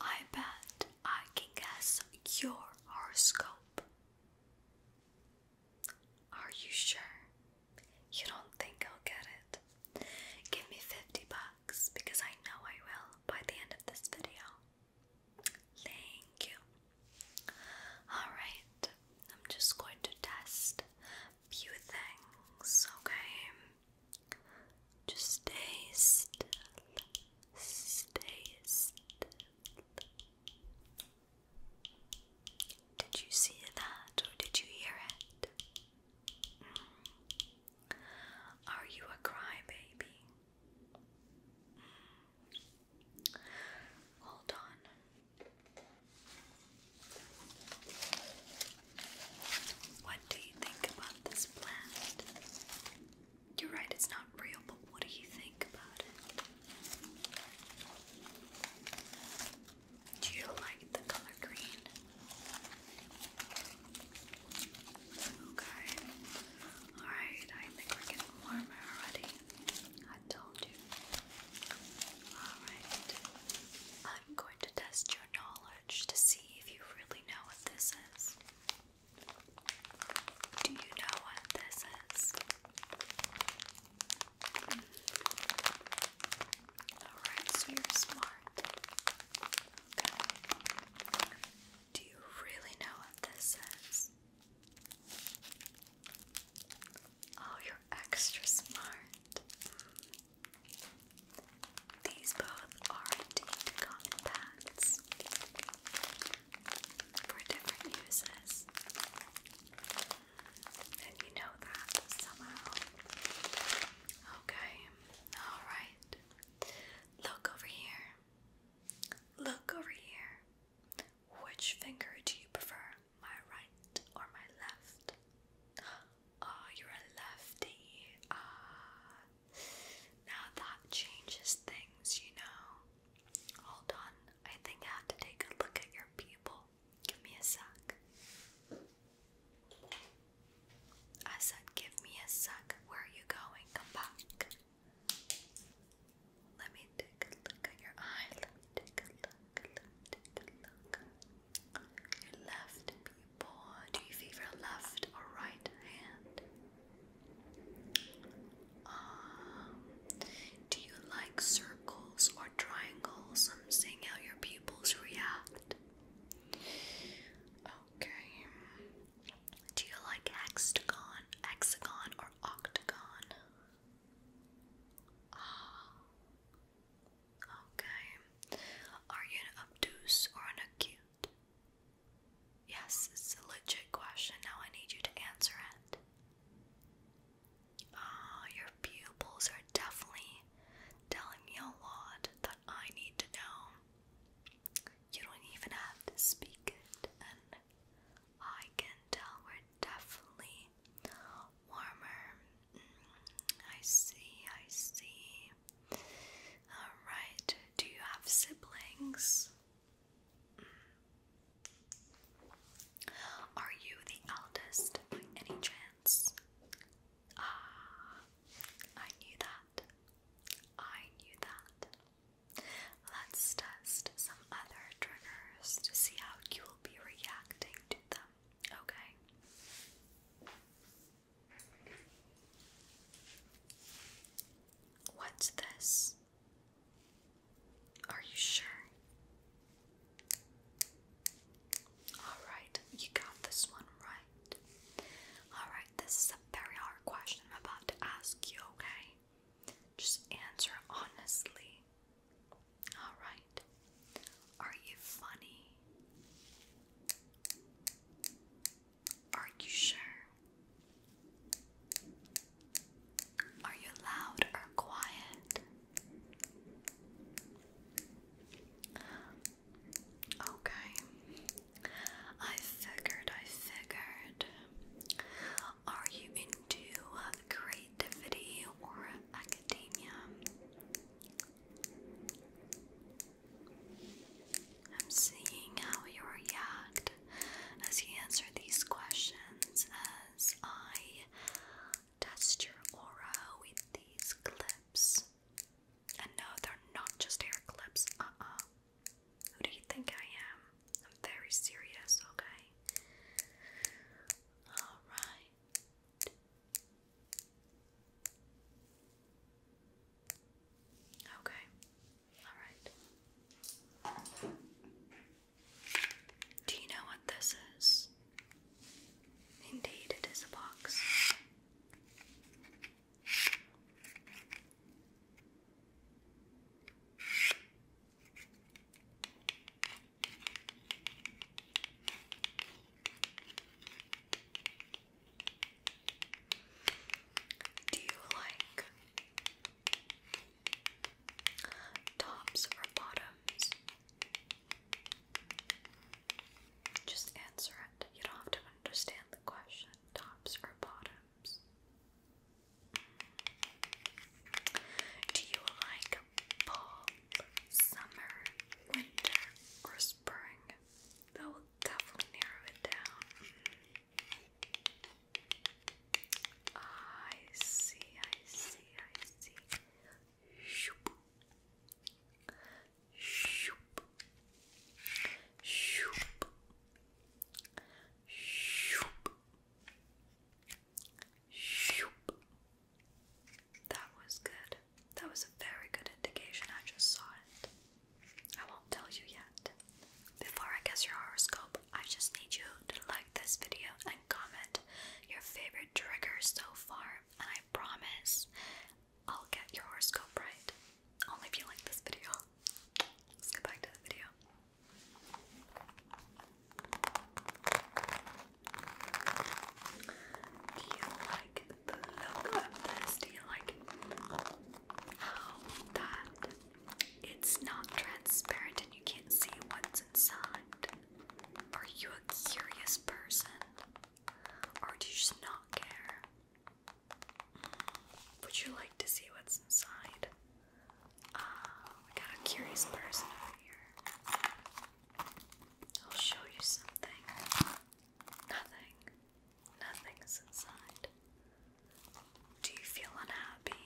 I bet I can guess your horoscope. Are you sure? You don't think I'll get it? Give me 50 bucks because I know I will by the end of this video. Thank you. Alright, I'm just going to test few things, okay? Just stay still, stay still. Did you see that or did you hear it? Mm. Are you a crybaby? Mm. Hold on. What do you think about this plant? You're right, it's not real, but what do you think about it? Do you like the color green? Okay. Alright, I think getting warmer already. I told you. Alright. I'm going to test your knowledge to see if you really know what this is. Do you know what this is? Alright, so you're smart. Okay. Do you really know what this is? Oh, you're extra smart. These both are indeed common pads for different uses. And you know that somehow. Okay, alright. Look over here. Look over here. Which finger do you prefer? My right or my left? Oh, you're a lefty. Ah, now that changes things, you know. Hold on, I think I have to take a look at your people. Give me a sec. I said, give me a sec. Where are you going? Come back. Let me take a look at your eye. Let me take a look left people. Do you favor left or right hand? Um, do you like circles or triangles? I'm seeing how your pupils react. Okay. Do you like hexagon, hexagon, or octagon? Ah. Okay. Are you an obtuse or an acute? Yes, it's a legit question. Now I need you to answer it. Ah, your pupils are definitely telling me a lot that I need to know. You don't even have to speak it, and I can tell we're definitely warmer. Mm, I see, I see. Alright, do you have siblings? Are you the eldest by any chance? Ah, I knew that. I knew that. Let's test some other triggers to see how you will be reacting to them, okay? What's this? Are you sure? Alright, you got this one right. Alright, this is a very hard question I'm about to ask you, okay? Just answer honestly. Alright. Are you funny? Are you sure? Are you loud or quiet? Okay. I figured, I figured. Are you into uh, creativity or academia? I'm seeing how you react as he answers these questions as I test your aura with these clips. And no, they're not just hair clips. Uh uh. Who do you think I am? I'm very serious, okay? Alright. Okay. All right. Do you know what this is? Indeed, it is a box. Do you like tops or bottoms? Just answer it. You don't have to understand the question. Tops or bottoms? Do you like fall, summer, winter, or spring? That will definitely narrow it down. I see, I see, I see. Shoop. Shoop. Shoop. Shoop. Shoop. That was good. That was a very good indication. I just saw it. I won't tell you yet. Before I guess your horoscope, I just need you to like this video and comment your favorite trigger so far, and I promise I'll get your horoscope right. Only if you like this video. Let's get back to the video. Do you like the look of this? Do you like how that it's not transparent and you can't see what's inside? Are you a curious person? Or do you just not care? Hmm. Would you like to see what's inside? Ah, uh, we got a curious person over here. I'll show you something. Nothing. Nothing inside. Do you feel unhappy?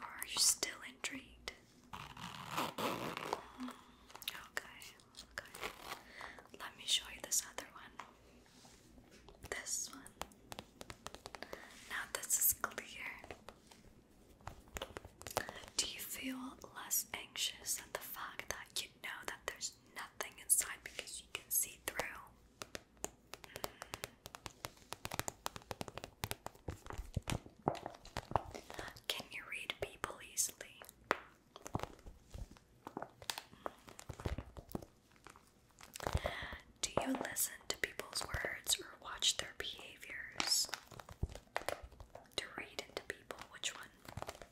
Or are you still intrigued? Hmm, okay, okay. Let me show you this other one. This one. Now this is clear. Do you feel less anxious at the fact that know that there's nothing inside because you can see through. Can you read people easily? Do you listen to people's words or watch their behaviors? To read into people, which one?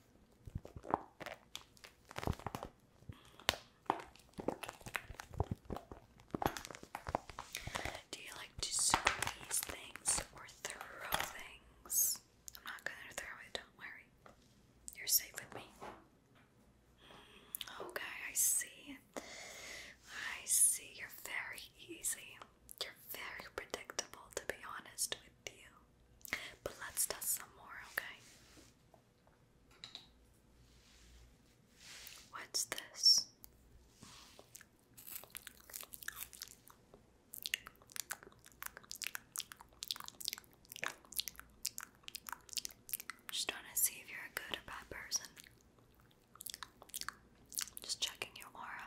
Do you like to squeeze things or throw things? I'm not gonna throw it, don't worry. You're safe with me. Mm, okay, I see. I see. You're very easy. You're very predictable, to be honest with you. But let's test some more, okay? What's this? Just trying to see if you're a good or bad person. Just checking your aura.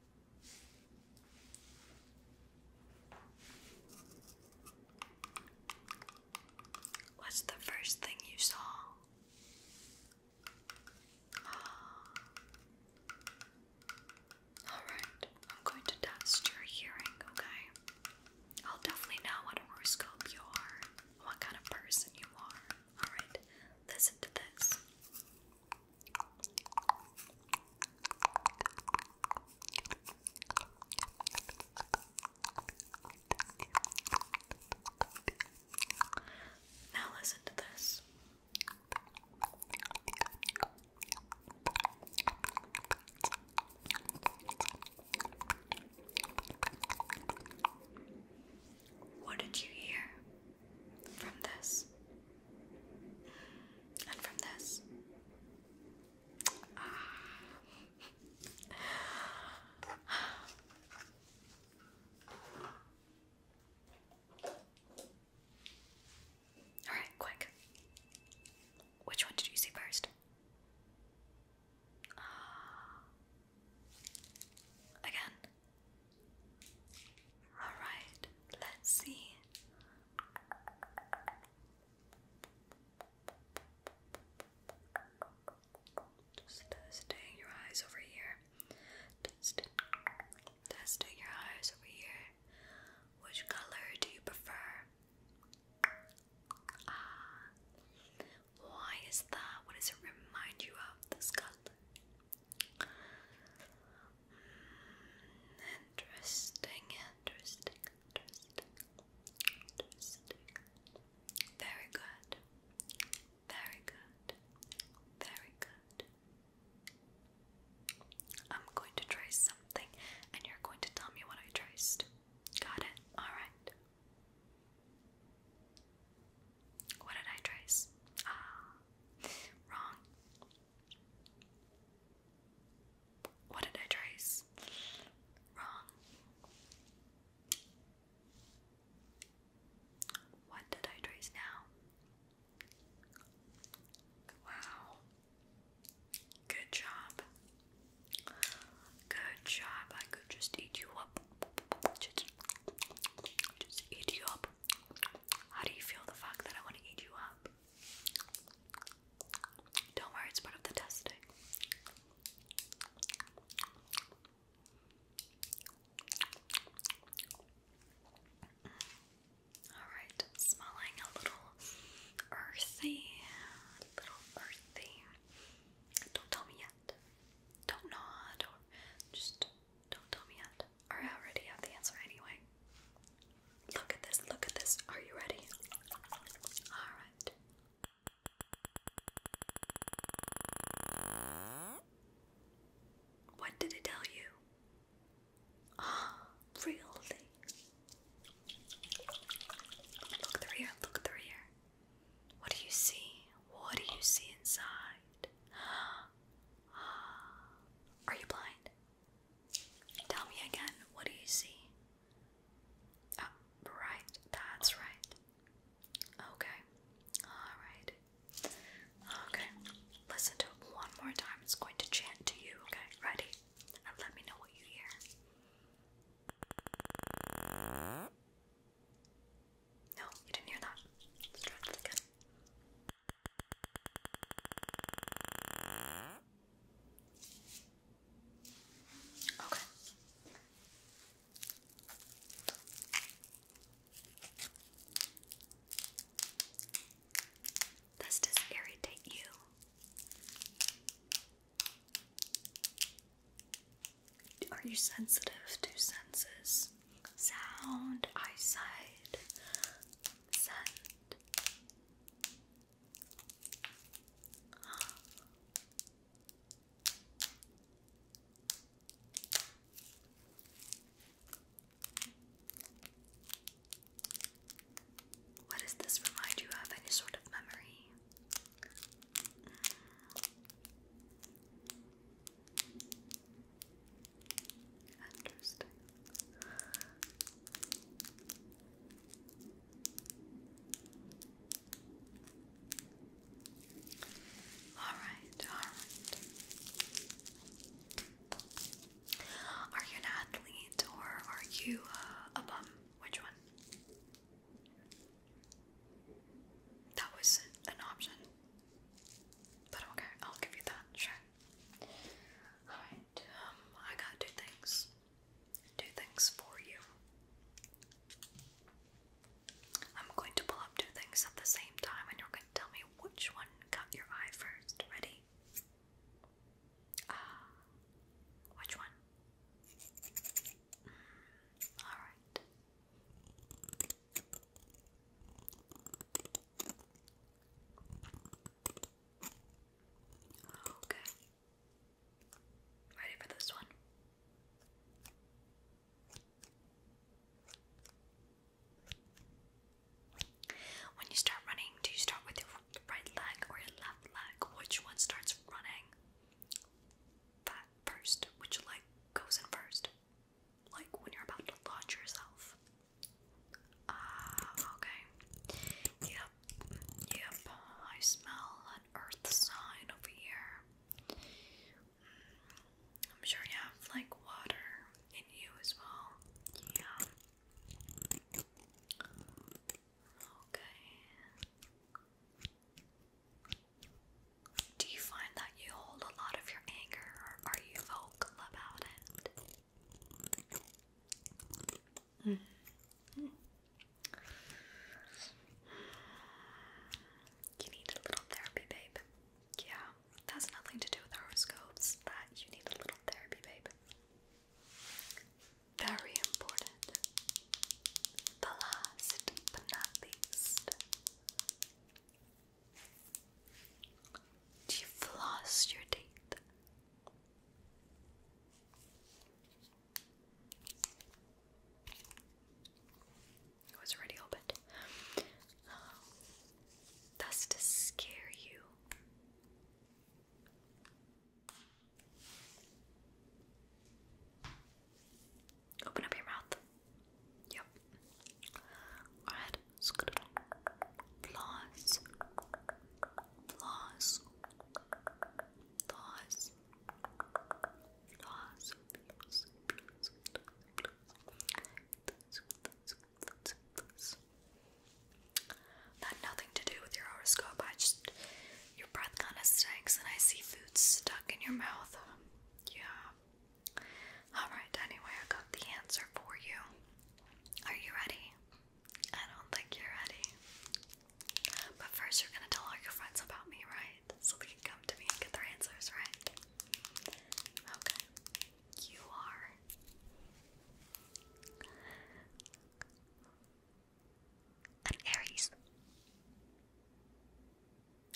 What's the first thing you saw? Alright, I'm going to test your hearing, okay? I'll definitely know what horoscope you are, what kind of person you are. Alright, listen to this. Now listen to this. What did you hear from this? And from this, ah. all right, quick. Which one did you see first? Ah. again. All right, let's see. Just testing your eyes over here. testing your eyes over here. Which color do you prefer? Ah, why is that? What does it remind you of? This color. Interesting, interesting, interesting, Very good. Very good. Very good. I'm going to trace something and you're going to tell me what I traced. Got it? Alright. What did I trace? Ah, wrong. What did I trace? Wrong. What did I trace now? Wow. Good job. Good job. I could just eat you up. Just, just eat you up. How do you feel the fact that I want to eat you up? Don't worry, it's part of the testing. Alright, smelling a little earthy. little earthy. Don't tell me yet. Don't nod or just don't tell me yet. I already have the answer anyway. Look at this, look at this. Are you ready? Alright. What did it tell you? Ah, really? Look through here, look through here. What do you see? What do you see inside? Are you blind? Tell me again, what do you see? Ah, right, that's right. Okay, alright. Okay, listen to it one more time. It's going to chant to you, okay? Ready? And let me know what you hear. No, you didn't hear that. Let's try that again. Okay. Does this irritate you? Are you sensitive to senses? Sound, eyesight, scent, what does this remind you of? Any sort of memory? Interesting. All right, all right. Are you an athlete or are you uh, a bum? Which one? That was an option. But okay, I'll give you that, sure. Alright, um, I got two things. Two things for you. I'm going to pull up two things at the same time and you're going to tell me which one caught your eye first. Ready? Ah, which one? Mm, alright. Okay. Ready for this one? When you start running, do you start with your right leg or your left leg? Which one starts running? first. Which leg goes in first? Like when you're about to launch yourself. Ah, okay. Yep, yep. I smell an earth sign over here. Mm, I'm sure you have like water in you as well. Yeah. Okay. Do you find that you hold a lot of your anger or are you vocal about it? Mm. You need a little therapy, babe. Yeah, it nothing to do with horoscopes. That you need a little therapy, babe. Very important. The last but not least, do you floss your teeth? It was already opened. Um, to scare you. Open up your mouth. Yep. Alright, floss, floss, floss, floss, floss, floss, That nothing to do with your horoscope. I just your breath kind of stinks, and I see food stuck in your mouth. Yeah. Alright, anyway, I got the answer for you. Are you ready? I don't think you're ready. But first, you're gonna tell all your friends about me, right? So they can come to me and get their answers, right? Okay. You are. An Aries.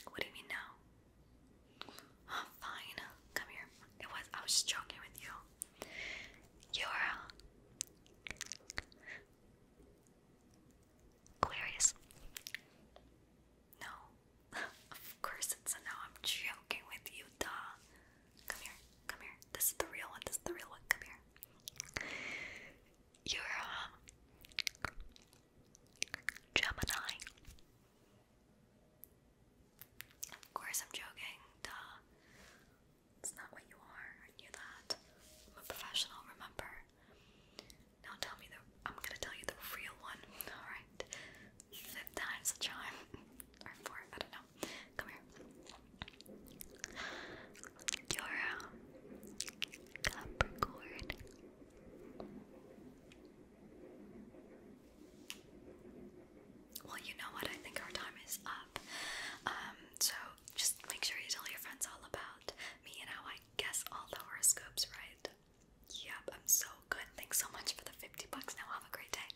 What do you mean now? Oh, fine, come here. It was I was joking with you. You're uh, Aquarius. No, of course it's a I'm joking with you, duh. Come here, come here. This is the real one. This is the real one. Come here. You're um, Gemini. Of course, I'm joking. Duh. It's not what you are. I knew that. a professional, remember? Now tell me the. I'm gonna tell you the real one. Alright. Fifth time's a charm. Or four, I don't know. Come here. You're a uh, Capricorn. Well, you know what? I think our time is up. Um, so just make sure you tell your friends all about me and how I guess all the horoscopes, right? Yep, I'm so good. Thanks so much for the 50 bucks. Now have a great day.